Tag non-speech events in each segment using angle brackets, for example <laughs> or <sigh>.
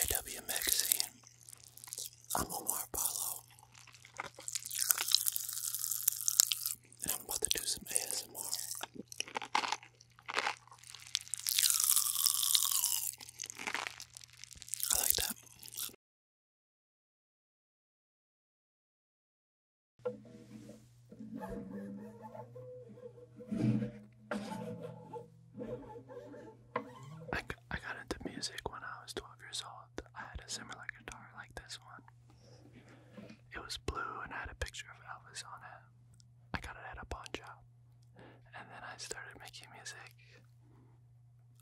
AW Magazine. I'm Omar Apollo. And I'm about to do some ASMR. I like that. I, I got into music when I was 12 years old. I had a similar guitar like this one. It was blue and I had a picture of Elvis on it. I got it at a pawn shop. And then I started making music,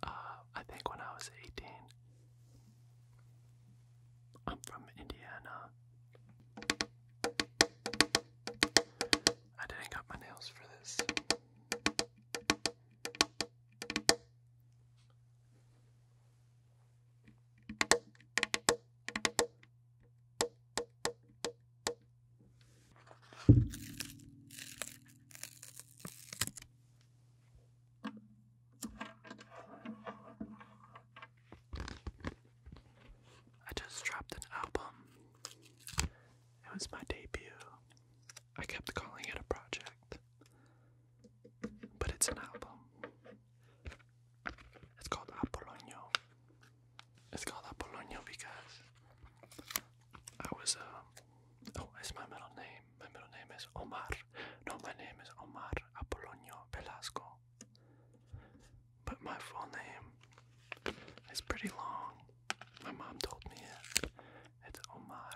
uh, I think when I was 18. I'm from Indiana. I didn't cut my nails for this. I just dropped an album. It was my debut. I kept calling it a project, but it's an album. It's called Apolonio. It's called Apolonio because I was, uh, oh, it's my middle name. My middle name is Omar. No, my name is Omar Apolonio Velasco. But my full name is pretty long. My mom told me It's Omar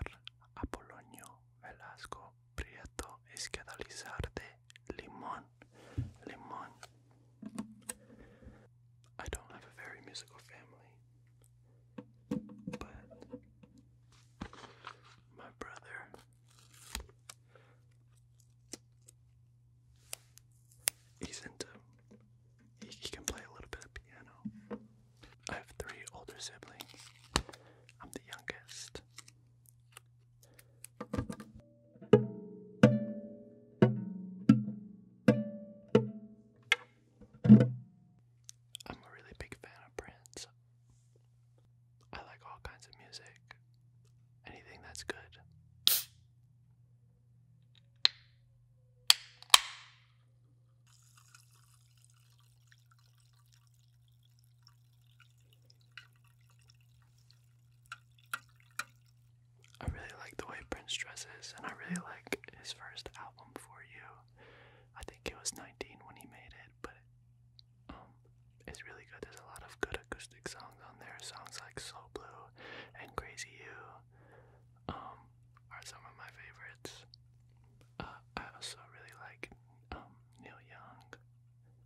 Apolonio Velasco Prieto Esquedalizarte Limon. Limon. I don't have a very musical family, but my brother He's into. He, can play a little bit of piano. I have three older siblings. I'm the youngest. I'm a really big fan of Prince. I like all kinds of music. Anything that's good. I really like the way Prince dresses, and I really like his first album for you. I think it was when he made it, but um, really good. There's a lot of good acoustic songs on there. Songs like Soul Blue and Crazy You um, are some of my favorites. Uh, I also really like um, Neil Young.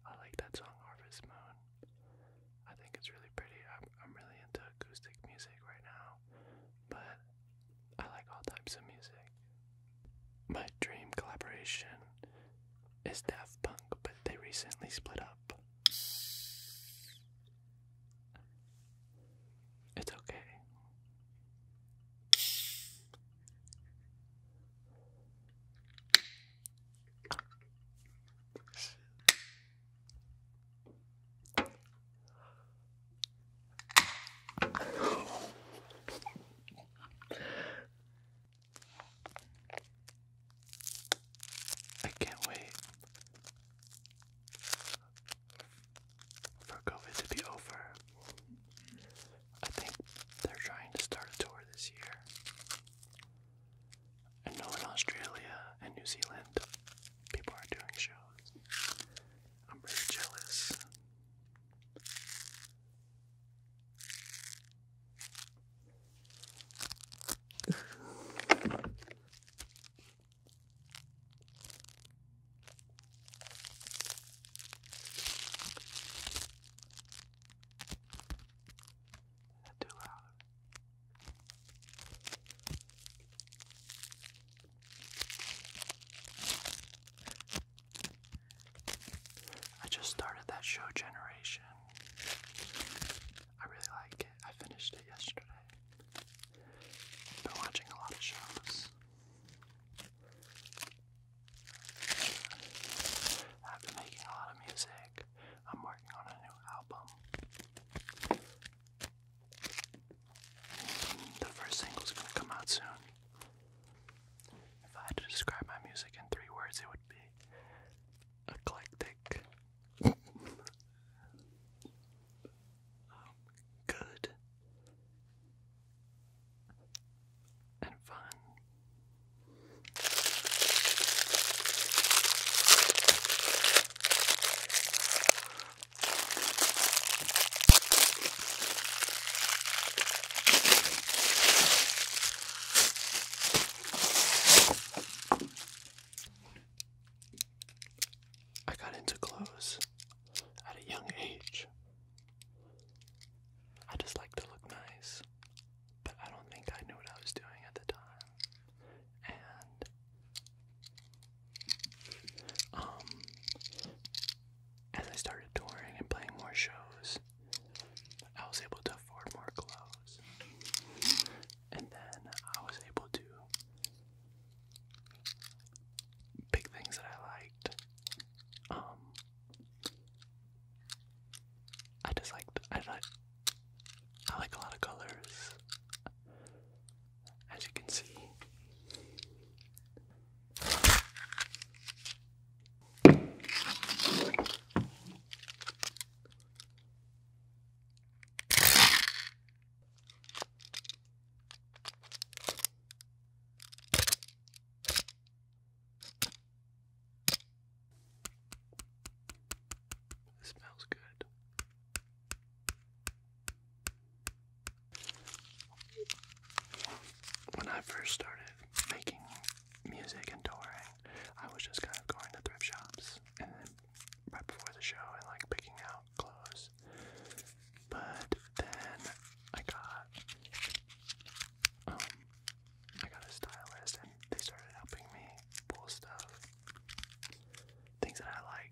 I like that song Harvest Moon. I think it's really pretty. I'm, I'm really into acoustic music right now, but I like all types of music. My dream collaboration is Daft Punk, but they recently split up. It's okay. I can't wait for COVID to be over. I think they're trying to start a tour this year. I know in Australia and New Zealand people are doing shows. I'm really jealous too loud? I just started that show, Generation. I really like it. I finished it yesterday. Been watching a lot of shows. I've been making a lot of music. I'm working on a new album. The first single's gonna come out soon. If I had to describe my music in three words, it would be eclectic, um, good, and fun. I got into clothes at a young age. I just like to look nice, but I don't think I knew what I was doing at the time. And um as I started touring and playing more shows, I was able to afford more clothes. And then I was able to pick things that I liked. Um, I just liked, I like, I like a lot of colors, as you can see. It smells good. When I first started making music and touring, I was just kind of going to thrift shops and then right before the show and like picking out clothes. But then I got um I got a stylist and they started helping me pull stuff. Things that I liked.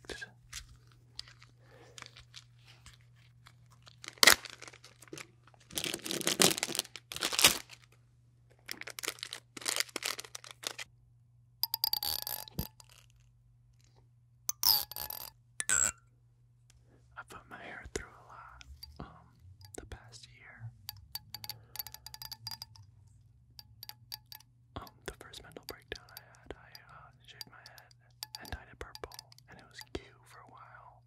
I put my hair through a lot um the past year. Um, the first mental breakdown I had, I uh, shaved my head and dyed it purple, and it was cute for a while.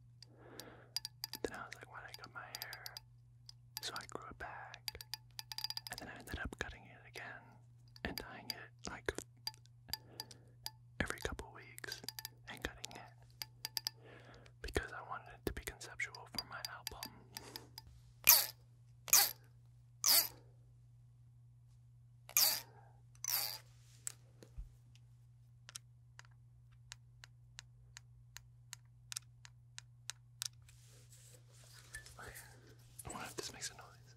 Then I was like, why I cut my hair? So I grew it back. And then I ended up cutting it again and tying it like every couple weeks and cutting it because I wanted it to be conceptual for my album. Okay. I wonder this makes a noise.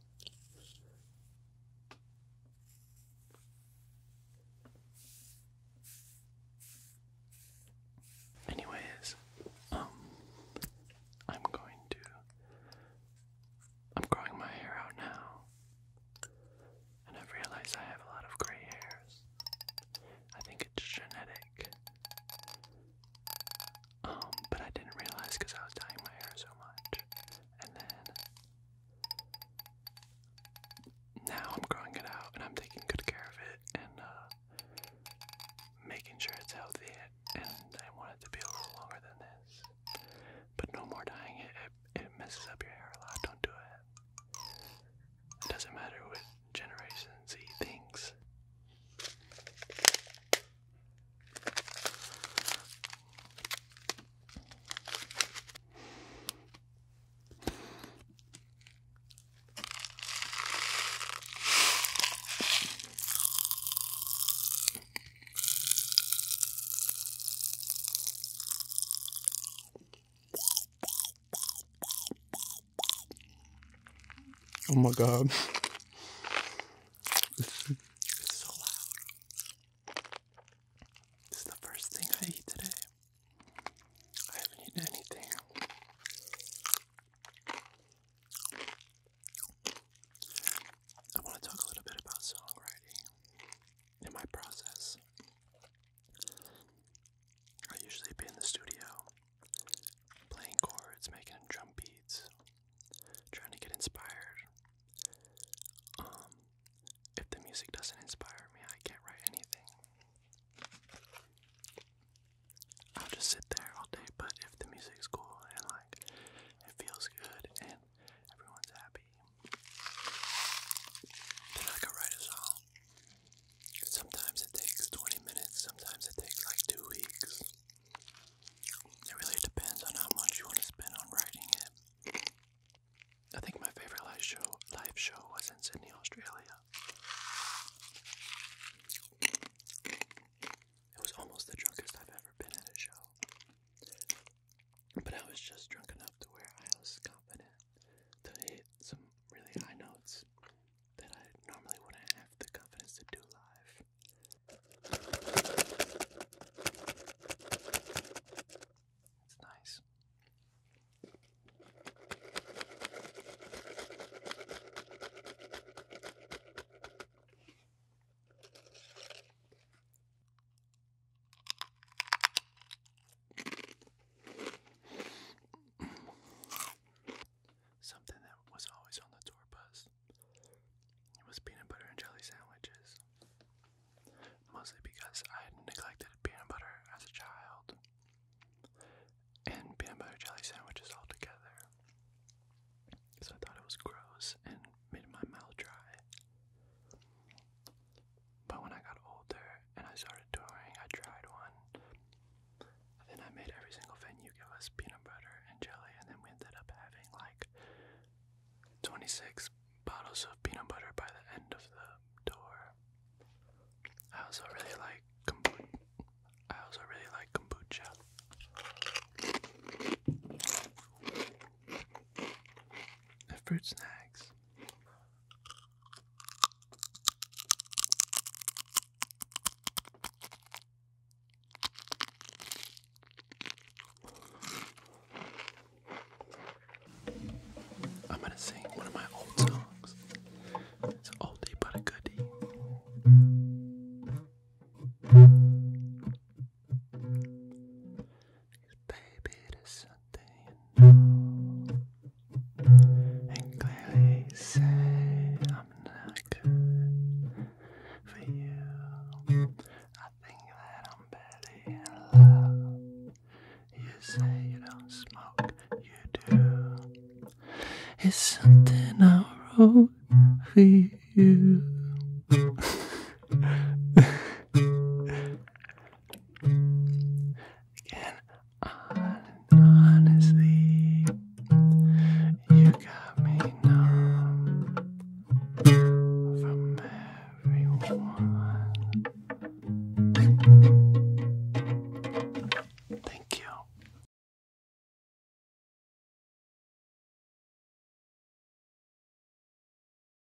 Anyways, um, I'm going to. I'm growing my hair out now, I've realized I have a lot of gray hairs. I think it's genetic. Um, but I didn't realize because I was dyeing my hair so much. And then now I'm growing it out and I'm taking good care of it and uh, making sure it's healthy. And I want it to be a little longer than this. But no more dyeing It it messes up your hair a lot. Don't do it. It doesn't matter with Generation Z thinks. Oh my god. It's, it's so loud. This is the first thing I eat today. I haven't eaten anything. I want to talk a little bit about songwriting and my process. I usually be in the studio playing chords, making drum beats, trying to get inspired. Um, if the music doesn't inspire me, I can't write anything. I'll just sit there all day, but if the music's cool and like it feels good and Everyone's happy. Then I could write a song. Sometimes it takes 20 minutes, sometimes it takes like two weeks. It really depends on how much you want to spend on writing it. I think my favorite live show live show was in Sydney, Australia. It was almost the drunkest I've ever been at a show. But I was just drunk enough to where I was confident to hit some really high notes that I normally wouldn't have the confidence to do live. It's nice. Something that was always on the tour bus. It was peanut butter and jelly sandwiches. Mostly because I neglected peanut butter as a child. And peanut butter jelly sandwiches all together, Because I thought it was gross and made my mouth dry. But when I got older and I started touring, I tried one. Then I made every single venue give us peanut butter and jelly, and then we ended up having like 26 bottles of peanut butter by the end of the tour. I also really like kombucha. I also really like kombucha. The fruit snacks I'm gonna sing one of my old songs. It's an oldie but a goodie baby, it is Sunday, you And clearly you say I'm not good for you. I think that I'm barely in love. You say you don't smoke, you do. It's something I wrote for you. <laughs> Again, honestly, you got me numb from everyone. Thank you.